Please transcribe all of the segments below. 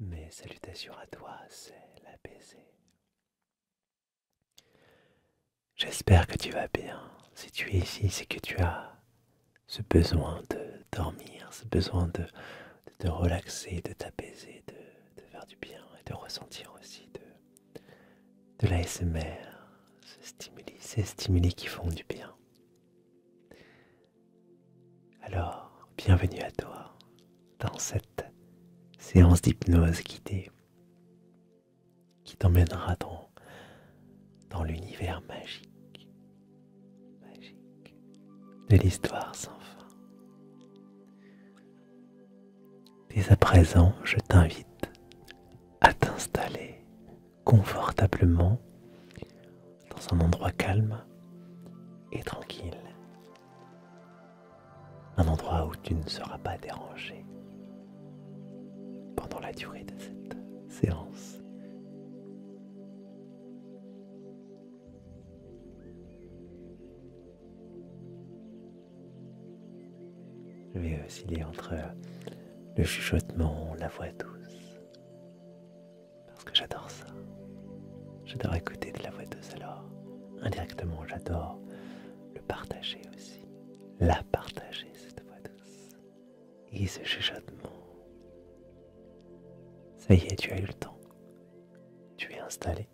Mes salutations à toi, c'est la J'espère que tu vas bien. Si tu es ici, c'est que tu as ce besoin de dormir, ce besoin de, te relaxer, de t'apaiser, de, faire du bien et de ressentir aussi de, de l'ASMR, ce stimuli, ces stimuli qui font du bien. Alors, bienvenue à toi dans cette séance d'hypnose guidée qui t'emmènera dans, dans l'univers magique, magique de l'histoire sans fin. Dès à présent, je t'invite à t'installer confortablement dans un endroit calme et tranquille. Un endroit où tu ne seras pas dérangé pendant la durée de cette séance. Je vais osciller entre le chuchotement, la voix douce parce que j'adore ça. J'adore écouter de la voix douce alors. Indirectement, j'adore le partager aussi. La partager, cette voix douce. Et ce chuchotement. Ça y est, tu as eu le temps. Tu es installé.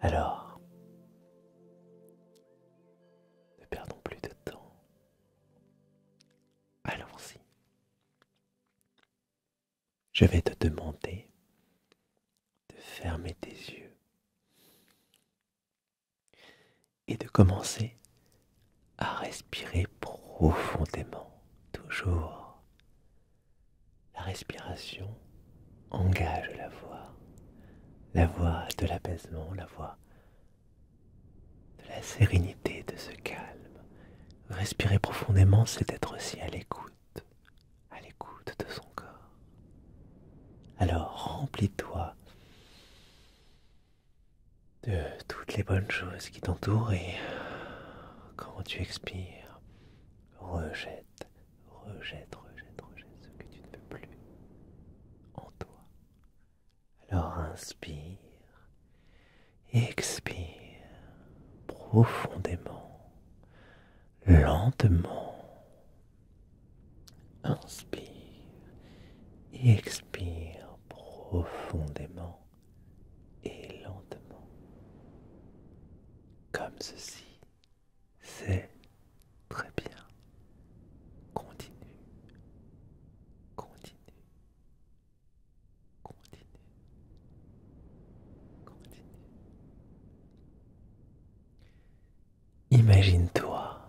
Alors, ne perdons plus de temps. Allons-y je vais te demander de fermer tes yeux et de commencer à respirer profondément, toujours. La respiration engage la voix, la voix de l'apaisement, la voix de la sérénité, de ce calme. Respirer profondément, c'est être aussi à l'écoute, à l'écoute de son corps. Alors remplis-toi de toutes les bonnes choses qui t'entourent et quand tu expires, rejette, rejette, rejette, rejette ce que tu ne veux plus en toi. Alors inspire, expire profondément, lentement. Inspire, expire profondément et lentement. Comme ceci, c'est très bien. Continue, continue. Imagine-toi.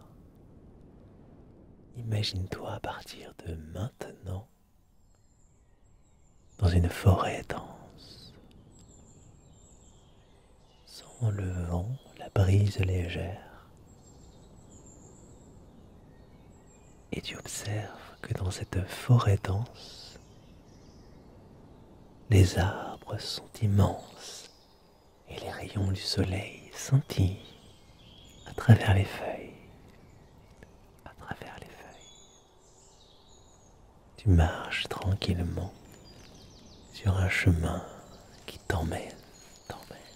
Imagine-toi à partir de maintenant dans une forêt dense. Sans le vent, la brise légère et tu observes que dans cette forêt dense, les arbres sont immenses et les rayons du soleil scintillent à travers les feuilles, à travers les feuilles. Tu marches tranquillement sur un chemin qui t'emmène T'emmène,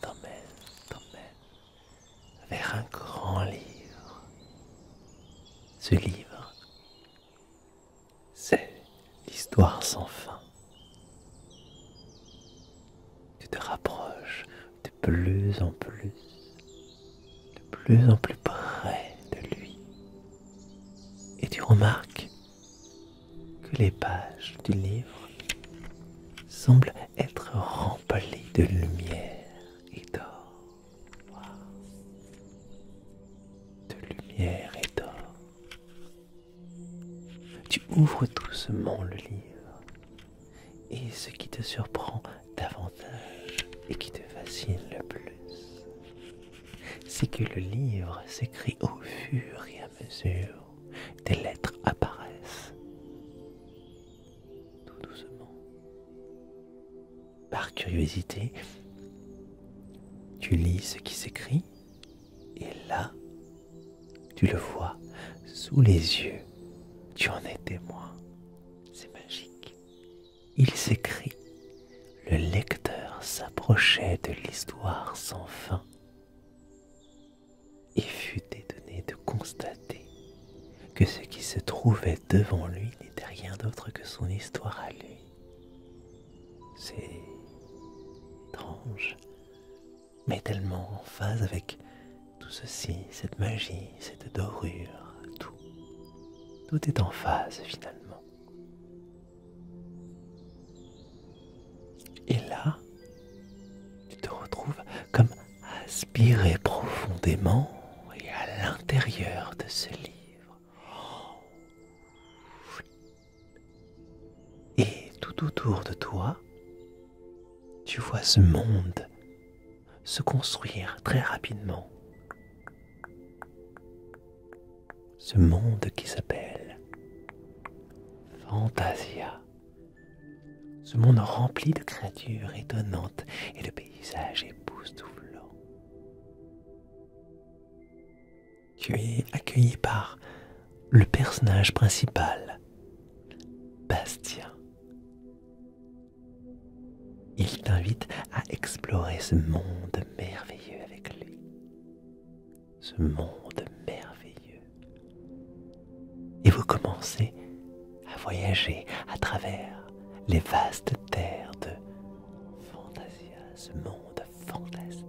t'emmène, t'emmène vers un grand livre. Ce livre c'est l'histoire sans fin. Tu te rapproches de plus en plus, de plus en plus près de lui, et tu remarques que les pages du livre semblent être remplies de lumière et d'or de lumière et d'or. Tu ouvres doucement le livre, et ce qui te surprend davantage et qui te fascine le plus, c'est que le livre s'écrit au fur et à mesure des lettres apparaissent tout doucement par curiosité, tu lis ce qui s'écrit et là, tu le vois sous les yeux. Tu en es témoin. C'est magique. Il s'écrit. Le lecteur s'approchait de l'histoire sans fin. Et fut étonné de constater que ce qui se trouvait devant lui n'était rien d'autre que son histoire à lui. C'est étrange, mais tellement en phase avec tout ceci, cette magie, cette dorure, tout. Tout est en phase finalement. Et là, tu te retrouves comme aspiré profondément et à l'intérieur de ce livre. Et tout autour de toi, tu vois ce monde se construire très rapidement. Ce monde qui s'appelle Fantasia. Ce monde rempli de créatures étonnantes et de paysages époustouflants. Tu es accueilli par le personnage principal, Bastien. Il t'invite à explorer ce monde merveilleux avec lui. Ce monde merveilleux. Et vous commencez à voyager à travers les vastes terres de Fantasia, ce monde fantastique.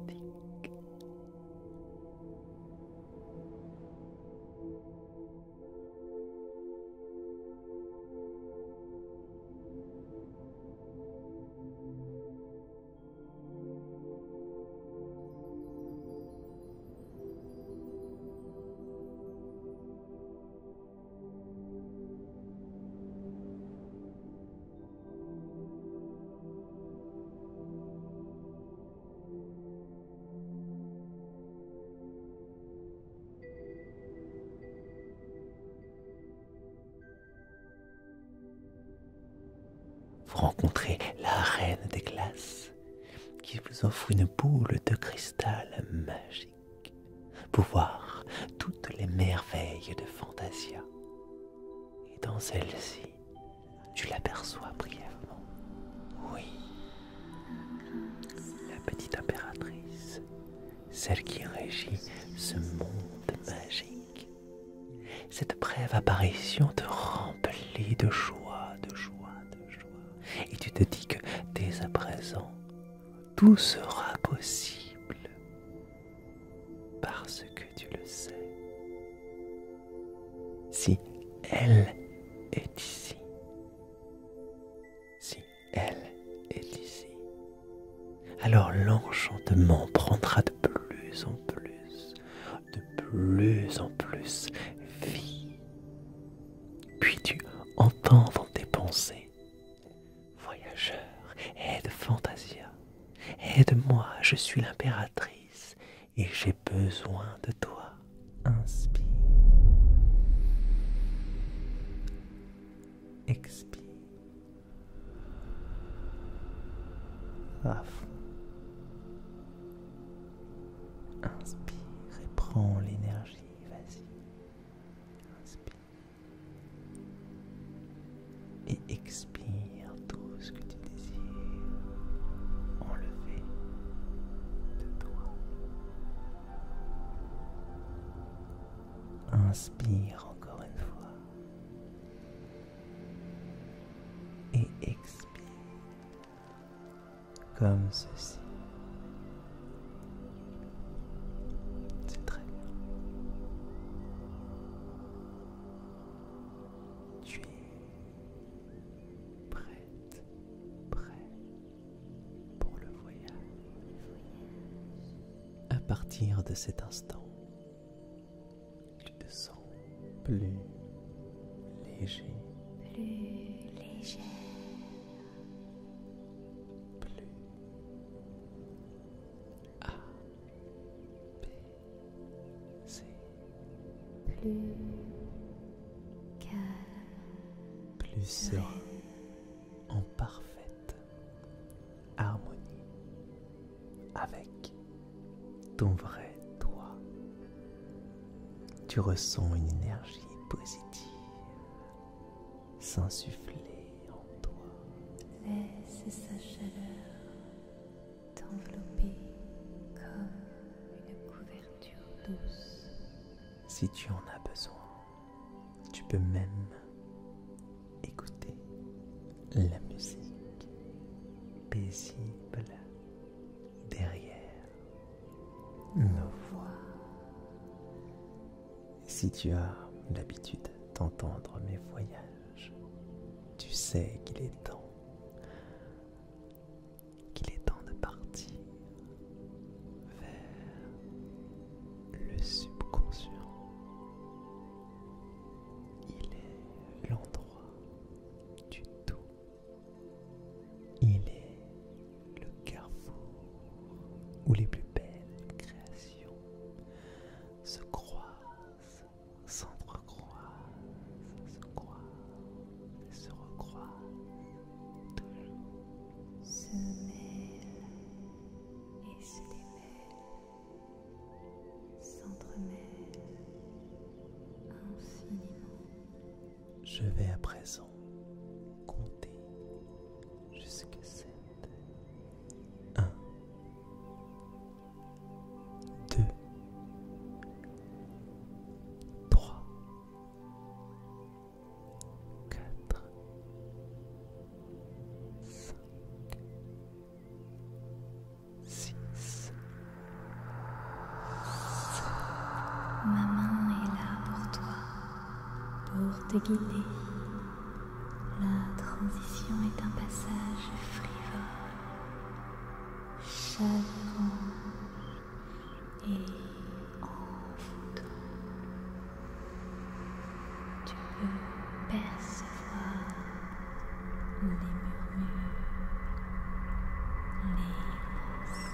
Vous rencontrez la reine des glaces qui vous offre une boule de cristal magique pour voir toutes les merveilles de Fantasia. Et dans celle-ci, tu l'aperçois brièvement. Oui, la petite impératrice, celle qui régit ce monde magique. Cette brève apparition te remplit de joie, de joie, de joie. Et tu te dis que dès à présent, tout sera possible parce que tu le sais. Si elle est ici, si elle est ici, alors l'enchantement prendra de plus en plus, de plus en plus vie puis-tu entendre tes pensées Voyageur, aide Fantasia, aide-moi, je suis l'impératrice et j'ai besoin de toi. Inspire. Expire. Inspire et prends l'énergie vas-y. Inspire. Et expire tout ce que tu désires enlever de toi. Inspire encore une fois. Et expire comme ceci. C'est très bien. Tu es prête, prêt pour le voyage. À partir de cet instant, tu te sens Plus léger plus A B C plus calme plus serein en parfaite harmonie avec ton vrai toi tu ressens une énergie positive s'insuffler en toi. Laisse sa chaleur t'envelopper comme une couverture douce. Si tu en as besoin, tu peux même écouter la musique paisible derrière nos voix. Si tu as l'habitude d'entendre mes voyages, tu sais qu'il est temps, qu'il est temps de partir vers le subconscient. Il est l'endroit du tout il est le carrefour où les plus belles créations se croisent, s'entrecroisent, se croisent et se recroisent toujours. Se mêlent et se démêlent, s'entremêlent infiniment. Je vais à présent compter jusqu'à 7. 1, 2, 3, 4, 5, 6. Ma main est là pour toi, pour te guider. La transition est un passage frivole, chaleureux et envoûtant. Tu peux percevoir les murmures, les les pensées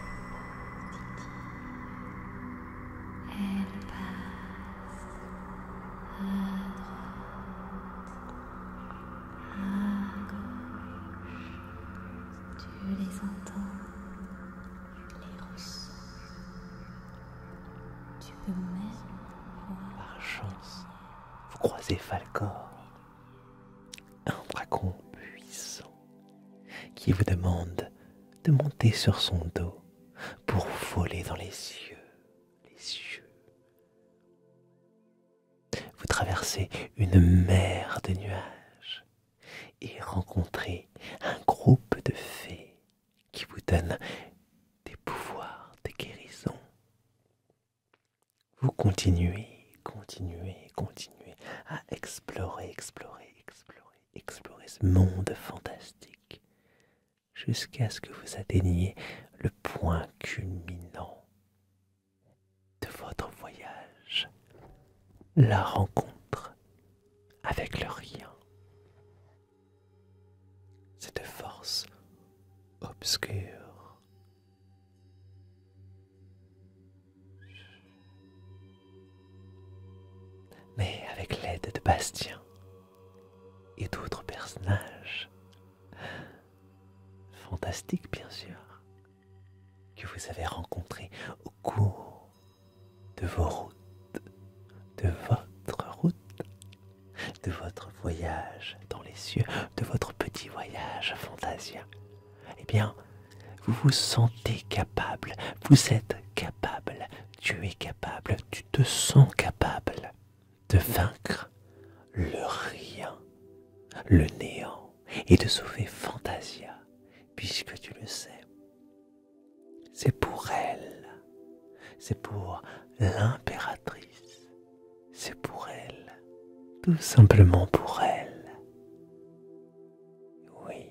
elles passent à droite, à gauche. Tu les entends, tu les ressens. Tu peux même voir. Par chance, vous croisez Falcor un dragon puissant qui vous demande de monter sur son dos pour voler dans les yeux, les yeux. Vous traversez une mer de nuages et rencontrez un groupe de fées qui vous donnent des pouvoirs de guérison vous continuez, continuez, continuez à explorer, explorer, explorer, explorer ce monde fantastique jusqu'à ce que vous atteigniez le point culminant de votre voyage, la rencontre avec le rien. Cette force obscure mais avec l'aide de Bastien et d'autres personnages, fantastiques bien sûr, que vous avez rencontrés au cours de vos routes, de votre route, de votre voyage dans les cieux, de votre petit voyage Fantasia, eh bien, vous vous sentez capable, vous êtes capable, tu es capable, tu te sens capable de vaincre le rien, le néant, et de sauver Fantasia, puisque tu le sais. C'est pour elle, c'est pour l'impératrice c'est pour elle, tout simplement pour elle. Oui,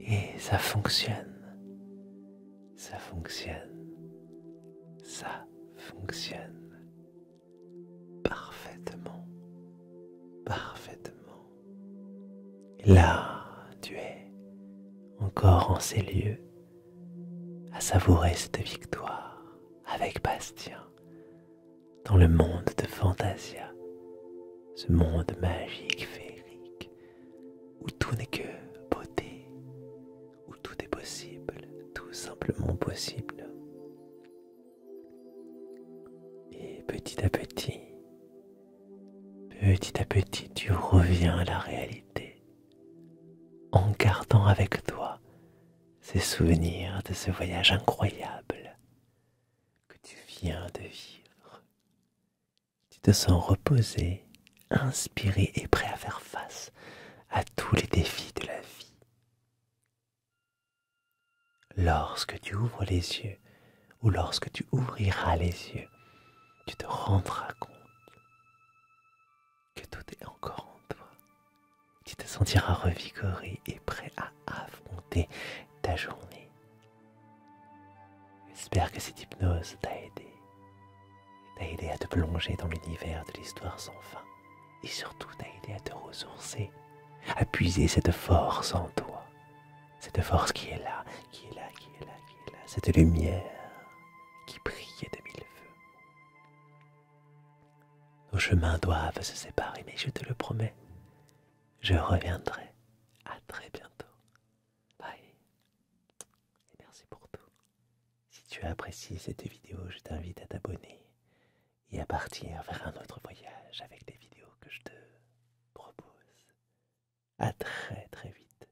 et ça fonctionne, ça fonctionne, ça fonctionne parfaitement, parfaitement. Là, tu es encore en ces lieux à savourer cette victoire avec Bastien dans le monde de Fantasia, ce monde magique, féerique, où tout n'est que beauté, où tout est possible, tout simplement possible. Et petit à petit, petit à petit, tu reviens à la réalité, en gardant avec toi ces souvenirs de ce voyage incroyable que tu viens de vivre. Tu te sens reposé, inspiré et prêt à faire face à tous les défis de la vie. Lorsque tu ouvres les yeux ou lorsque tu ouvriras les yeux, tu te rendras compte que tout est encore en toi. Tu te sentiras revigoré et prêt à affronter ta journée. J'espère que cette hypnose t'a aidé. T'a aidé à te plonger dans l'univers de l'histoire sans fin. Et surtout t'a aidé à te ressourcer, à puiser cette force en toi. Cette force qui est là, qui est là, qui est là, qui est là. Cette lumière qui brille de mille feux. Nos chemins doivent se séparer, mais je te le promets, je reviendrai. À très bientôt. Bye. Et merci pour tout. Si tu as apprécié cette vidéo, je t'invite à t'abonner et à partir vers un autre voyage avec les vidéos que je te propose. À très très vite